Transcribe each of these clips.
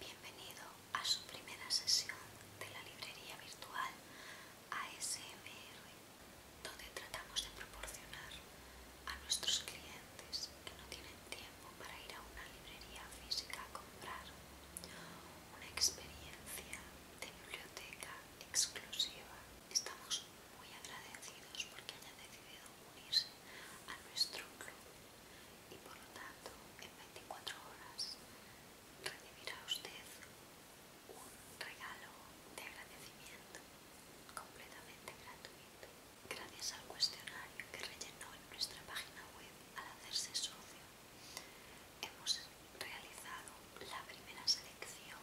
Bienvenido a su primera sesión de la librería virtual ASMR, donde tratamos de proporcionar a nuestros clientes que no tienen tiempo para ir a una librería física a comprar una experiencia de biblioteca exclusiva. Estamos muy agradecidos porque hayan decidido unirse a nuestro club y por lo tanto en 24 horas recibirá usted un regalo de agradecimiento completamente gratuito. Gracias al cuestionario que rellenó en nuestra página web al hacerse socio, hemos realizado la primera selección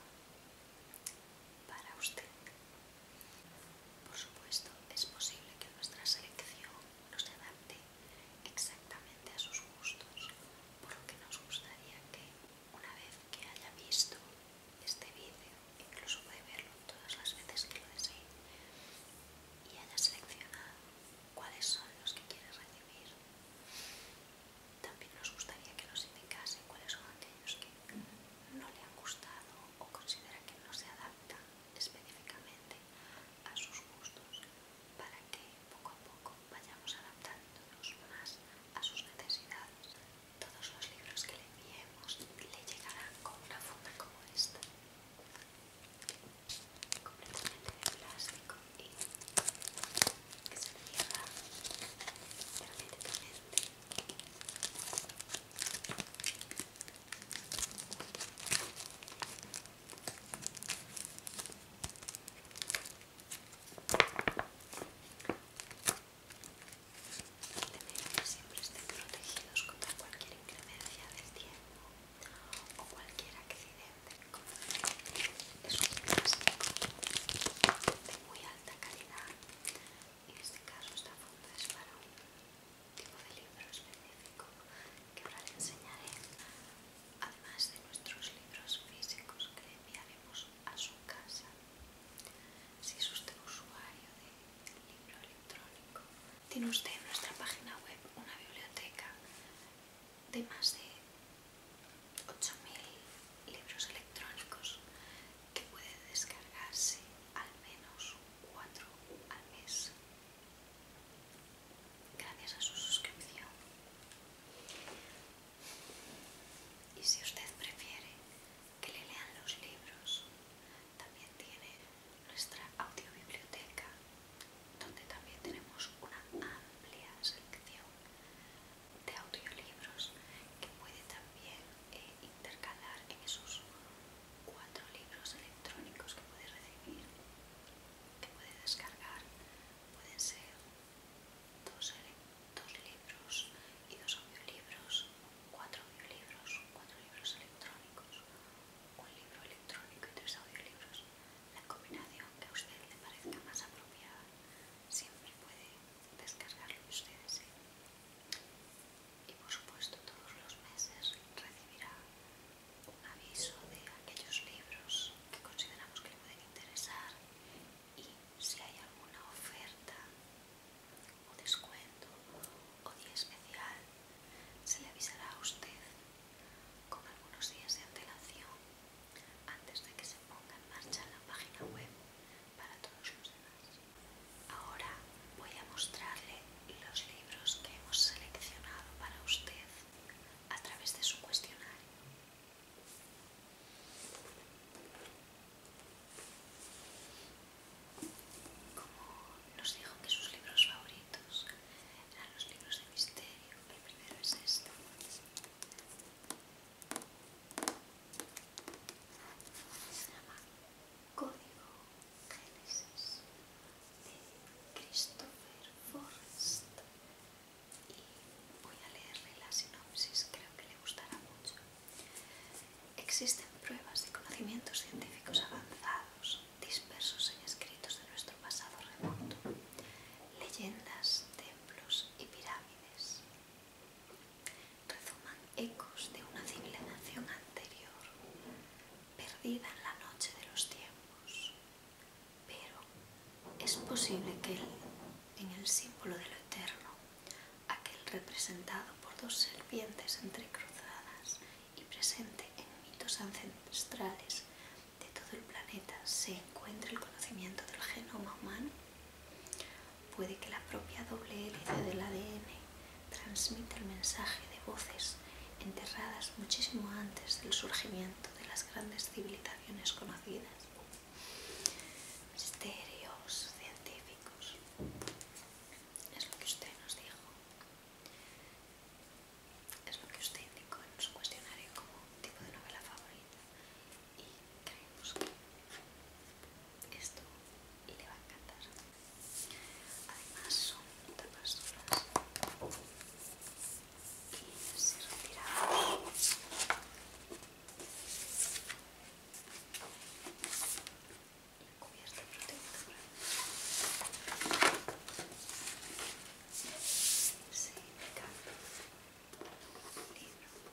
para usted por supuesto, es posible que nuestra selección no se adapte exactamente a sus gustos, por lo que nos gustaría que, una vez que haya visto este vídeo, incluso puede verlo todas las veces que lo desee, y haya seleccionado cuáles son los que quiere recibir. También nos gustaría que nos indicase cuáles son aquellos que no le han gustado o considera que no se adaptan específicamente a sus gustos para que poco a poco vayamos adaptándonos más a sus necesidades. Todos los libros que le enviemos le llegarán con una funda como esta, completamente de plástico y que se cierra perfectamente que siempre estén protegidos contra cualquier inclemencia del tiempo o cualquier accidente es un plástico de muy alta calidad en este caso esta funda es para un tipo de libro específico que ahora le enseñaré. Además de nuestros libros físicos que le enviaremos a su casa. Si es usted usuario de libro electrónico, tiene usted en nuestra página web una biblioteca de más de 8.000 libros electrónicos que puede descargarse al menos 4 al mes gracias a su suscripción y si usted prefiere que le lean los libros también tiene nuestra audiobiblioteca donde también tenemos una amplia selección de audiolibros que puede también e intercalar en esos cuatro libros electrónicos que puede recibir, que puede descargar, pueden ser dos, libros y dos audiolibros, cuatro audiolibros, cuatro libros electrónicos, un libro electrónico y tres audiolibros. La combinación que a usted le parezca más apropiada siempre puede descargarlo ustedes. desee y por supuesto todos los meses recibirá un aviso de aquellos libros que consideramos que le pueden interesar y si hay alguna oferta o descuento o día especial se le avisará a usted con algunos días de antelación antes de que se ponga en marcha la página web para todos los demás. Ahora voy a mostrarle los libros que hemos seleccionado para usted a través de su cuestionario. Como nos dijo que sus libros favoritos eran los libros de misterio, el primero es este. Código Génesis de Christopher Forrest y voy a leerle la sinopsis, creo que le gustará mucho. Existen pruebas de conocimientos científicos avanzados dispersos en escritos de nuestro pasado remoto, leyendas, templos y pirámides rezuman ecos de una civilización anterior, perdida en la noche de los tiempos. Pero es posible que en el símbolo de lo eterno, aquel representado por dos serpientes entrecruzadas y presente en mitos ancestrales de todo el planeta, se encuentre el conocimiento del genoma humano. Puede que la propia doble hélice del ADN transmita el mensaje de voces enterradas muchísimo antes del surgimiento de las grandes civilizaciones conocidas. Misterios científicos. Es lo que usted nos dijo. Es lo que usted indicó en su cuestionario como tipo de novela favorita y creemos que esto le va a encantar. Además son tapas duras y si retiramos la cubierta protectora se indica un libro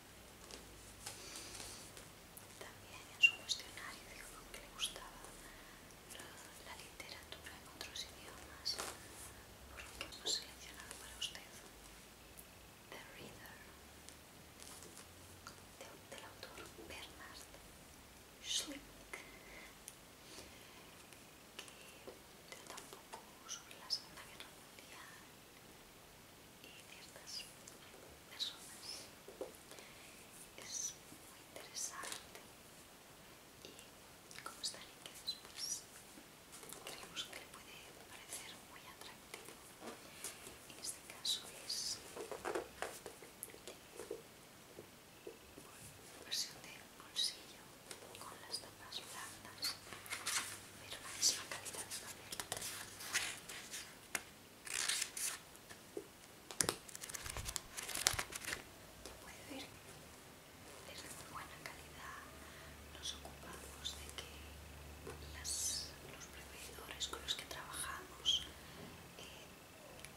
También en su cuestionario dijo que le gustaba la, literatura en otros idiomas, por lo que hemos seleccionado para usted The Reader, del autor Bernard Schmidt, que trata un poco sobre la Segunda Guerra Mundial y ciertas personas. Es muy interesante y como está el pues creemos que le puede parecer muy atractivo. En este caso es eh, versión de bolsillo con las tapas blandas pero la misma calidad de papel. puede ver, es de muy buena calidad. Nos ocupamos de que los proveedores con los que trabajamos eh,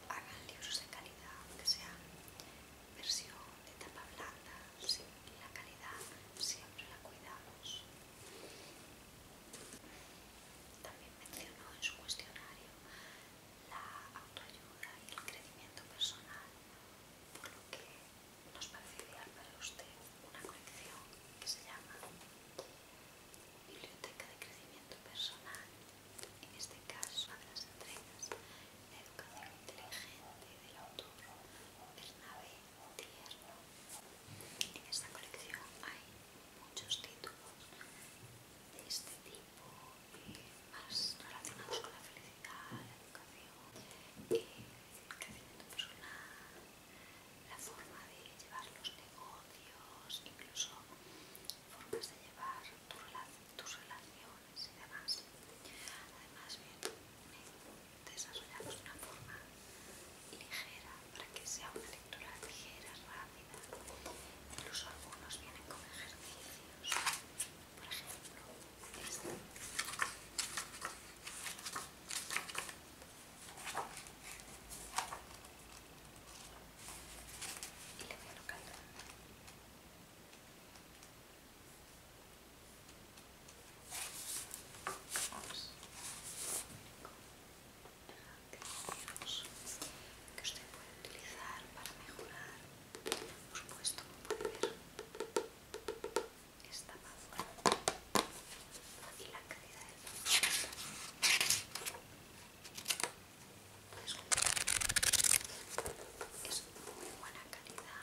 hagan libros de calidad, aunque sean versión de tapa blanda. la calidad siempre la cuidamos. También mencionó en su cuestionario la autoayuda y el crecimiento personal, por lo que nos parecería para usted una colección que se llama Biblioteca de Crecimiento Personal, en este caso una de las entregas Educación Inteligente del autor Nave tierno. En esta colección hay muchos títulos de este tipo, eh, más relacionados con la felicidad, la educación, eh, el crecimiento personal, la forma de llevar los negocios, incluso formas de llevar tus relaciones y demás. Además, desarrollamos de una forma ligera para que sea una lectura ligera, rápida. Incluso algunos vienen con ejercicios. Por ejemplo, este. Y le voy a que usted puede utilizar para mejorar por supuesto como puede ver esta madura y la calidad del producto es muy buena calidad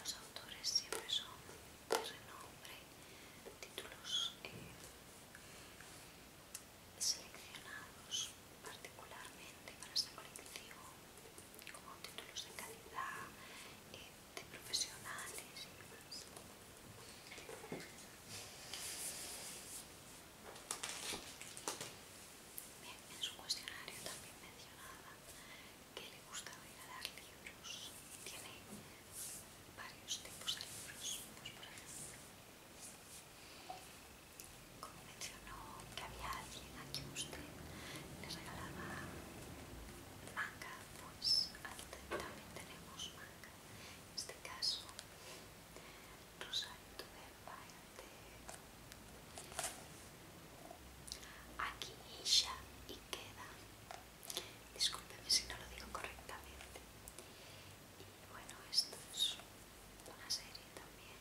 los autores siempre son de renombre, títulos eh, seleccionados particularmente para esta colección, como títulos de calidad, eh, de profesionales y demás. en su cuestionario también mencionaba que le gusta regalar libros. Tiene varios tipos de libros. Pues por ejemplo, como mencionó que había alguien a quien usted le regalaba manga, pues también tenemos manga. En este caso, Rosario de Aquí Isha y queda. Discúlpeme si no lo digo correctamente. Y bueno, esto es una serie también.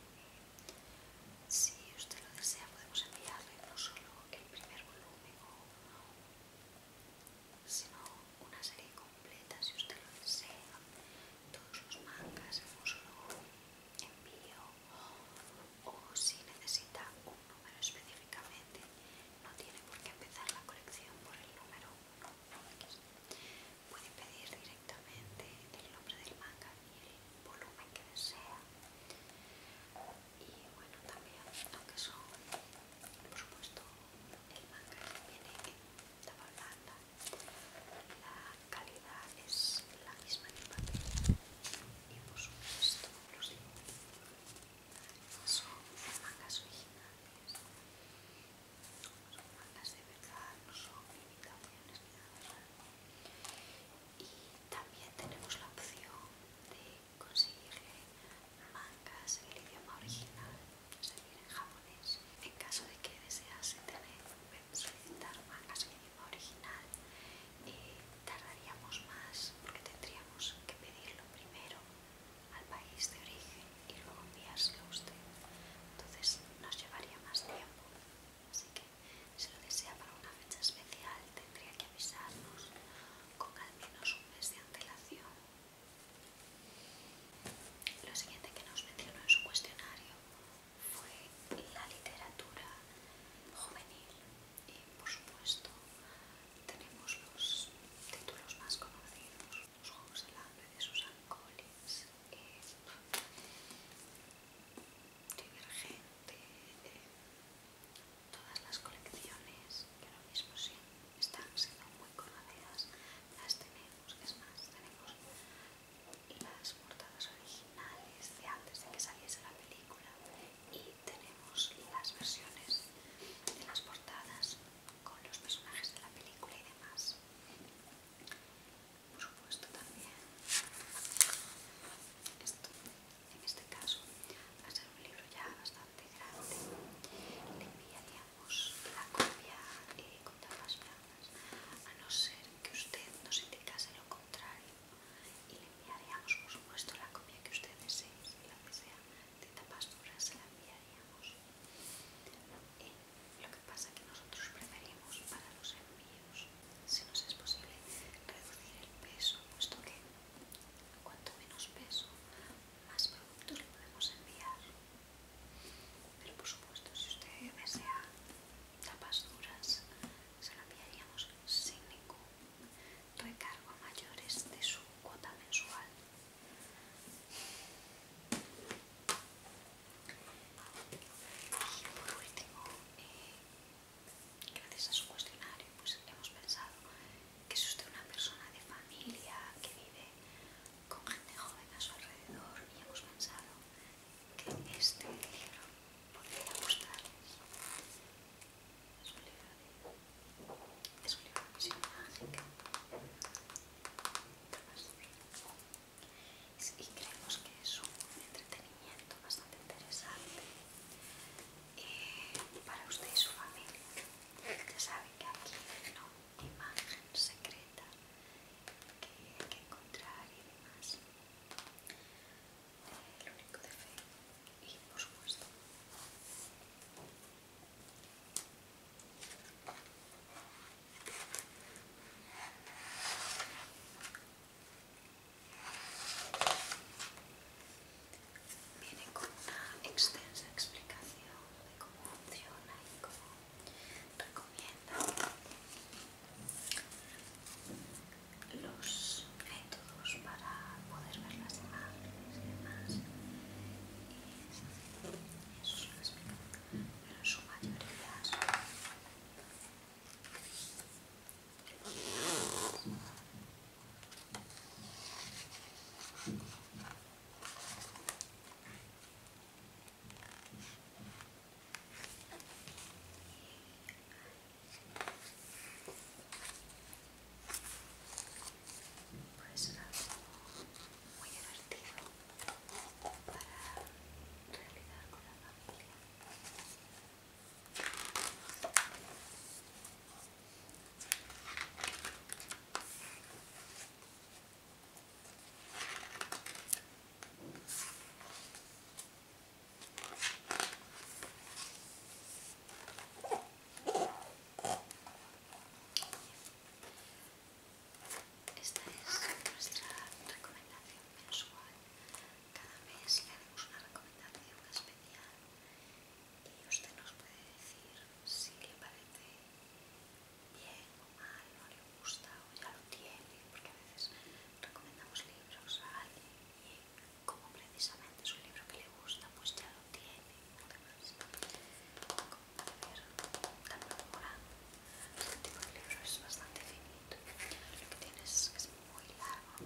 Si usted lo desea, podemos enviarle no solo el primer volumen, sino una serie completa si usted lo desea. Todos los mangas hemos solo envío o si necesita un número específicamente, no tiene por qué empezar la colección por el número 1 Puede pedir directamente el nombre del manga y el volumen que desea. Y bueno, también, aunque son, por supuesto, el manga viene en calidad es la misma que en papel y por supuesto los son mangas originales son mangas de verdad no son imitaciones y también tenemos la opción de conseguirle mangas en el idioma original es en japonés en caso de que desease tener solicitar mangas en original y eh, tardaríamos más porque tendríamos que pedirlo primero al país de origen y luego enviárselo a usted. Entonces nos llevaría más tiempo. Así que si lo desea para una fecha especial tendría que avisarnos con al menos un mes de antelación. Lo siguiente que nos mencionó en su cuestionario fue la literatura juvenil y por supuesto tenemos los títulos más conocidos, los Juegos del Hambre de Susan Collins, eh, Divergente, eh, todas las colecciones que ahora mismo sí están siendo muy conocidas las tenemos, es más, tenemos las portadas originales de antes de que saliese la película y tenemos las versiones de las portadas con los personajes de la película y demás. Por supuesto también esto en este caso va a ser un libro ya bastante grande le enviaríamos la copia y eh, con tapas a no ser que usted nos indicase lo contrario y le enviaríamos por supuesto la copia que usted desee la que sea de puras se la enviaríamos y eh, lo que pasa es que nosotros preferimos para los envíos si nos es posible reducir el peso puesto que cuanto menos peso más productos le podemos enviar pero por supuesto si usted desea tapas duras se lo enviaríamos sin ningún recargo a mayores de su cuota mensual. Y por último, eh, gracias a su cuestionario, pues hemos pensado que es usted una persona de familia que vive con gente joven a su alrededor y hemos pensado que este libro podría gustarles. Es un libro de, es un libro de misión mágica. Y creemos que es un entretenimiento bastante interesante eh, para usted y su familia. Ya saben que aquí hay no imagen secreta que hay que encontrar y demás. El eh, único de fe y por supuesto. Viene con una extensa explicación de cómo funciona y cómo recomienda los métodos para poder ver las imágenes y demás y eso es lo explico pero en su mayoría son pues era algo muy divertido para realizar con la familia. Esta es nuestra recomendación mensual. Cada mes le hacemos una recomendación especial y usted nos puede decir si le parece bien o mal, no le gusta o ya lo tiene, porque a veces recomendamos libros a alguien y como precisamente es un libro que le gusta, pues ya lo tiene además, Como puede ver, también enamorado, Este tipo de libro es bastante finito. Lo que tiene es, es muy largo.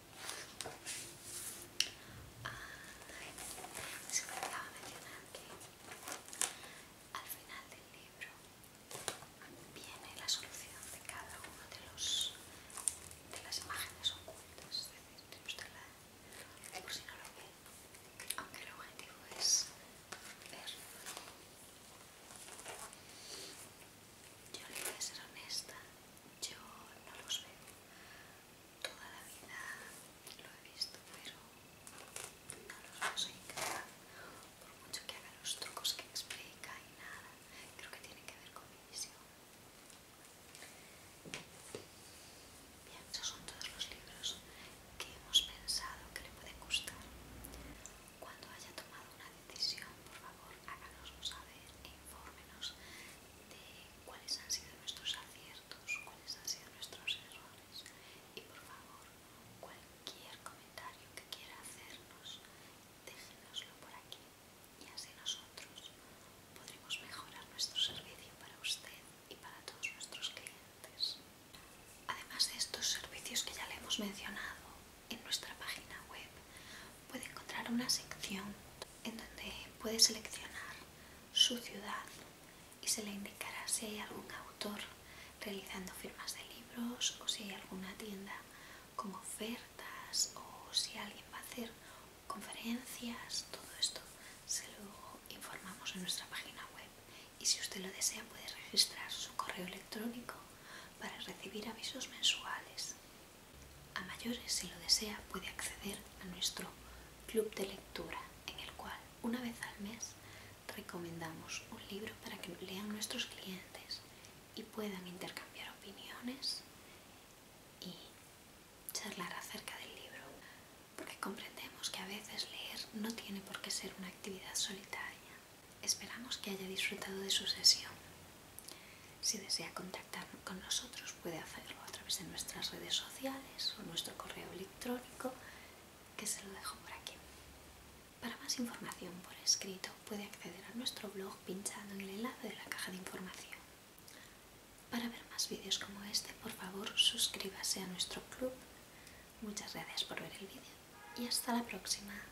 Ah, se me de mencionar que al final del libro viene la solución de cada una de los de las imágenes ocultas, es decir, tiene usted la por si no lo ve, aunque el objetivo es ver. Yo le voy a ser honesta yo no los veo. Toda la vida lo he visto, pero no los veo, Por mucho que haga los trucos que explica y nada, creo que tiene que ver con mi visión. Bien, esos son todos los libros que hemos pensado que le pueden gustar. Cuando haya tomado una decisión, por favor, por favor háganoslo saber e infórmenos de cuáles han sido nuestros aciertos, cuáles han sido nuestros errores y por favor cualquier comentario que quiera hacernos déjenoslo por aquí y así nosotros podremos mejorar nuestro servicio para usted y para todos nuestros clientes. Además de estos servicios que ya le hemos mencionado, en nuestra página web puede encontrar una sección en donde puede seleccionar su ciudad y se le indicará si hay algún autor realizando firmas de libros o si hay alguna tienda con ofertas o si alguien va a hacer conferencias, todo esto se lo informamos en nuestra página web y si usted lo desea puede registrar su correo electrónico para recibir avisos mensuales. A mayores, si lo desea, puede acceder a nuestro club de lectura, en el cual una vez al mes recomendamos un libro para que lean nuestros clientes y puedan intercambiar opiniones y charlar acerca del libro, porque comprendemos que a veces leer no tiene por qué ser una actividad solitaria. Esperamos que haya disfrutado de su sesión. Si desea contactar con nosotros puede hacerlo a través de nuestras redes sociales o nuestro correo electrónico que se lo dejo por aquí. Para más información por escrito puede acceder a nuestro blog pinchando en el enlace de la caja de información. Para ver más vídeos como este, por favor suscríbase a nuestro club. Muchas gracias por ver el vídeo y hasta la próxima.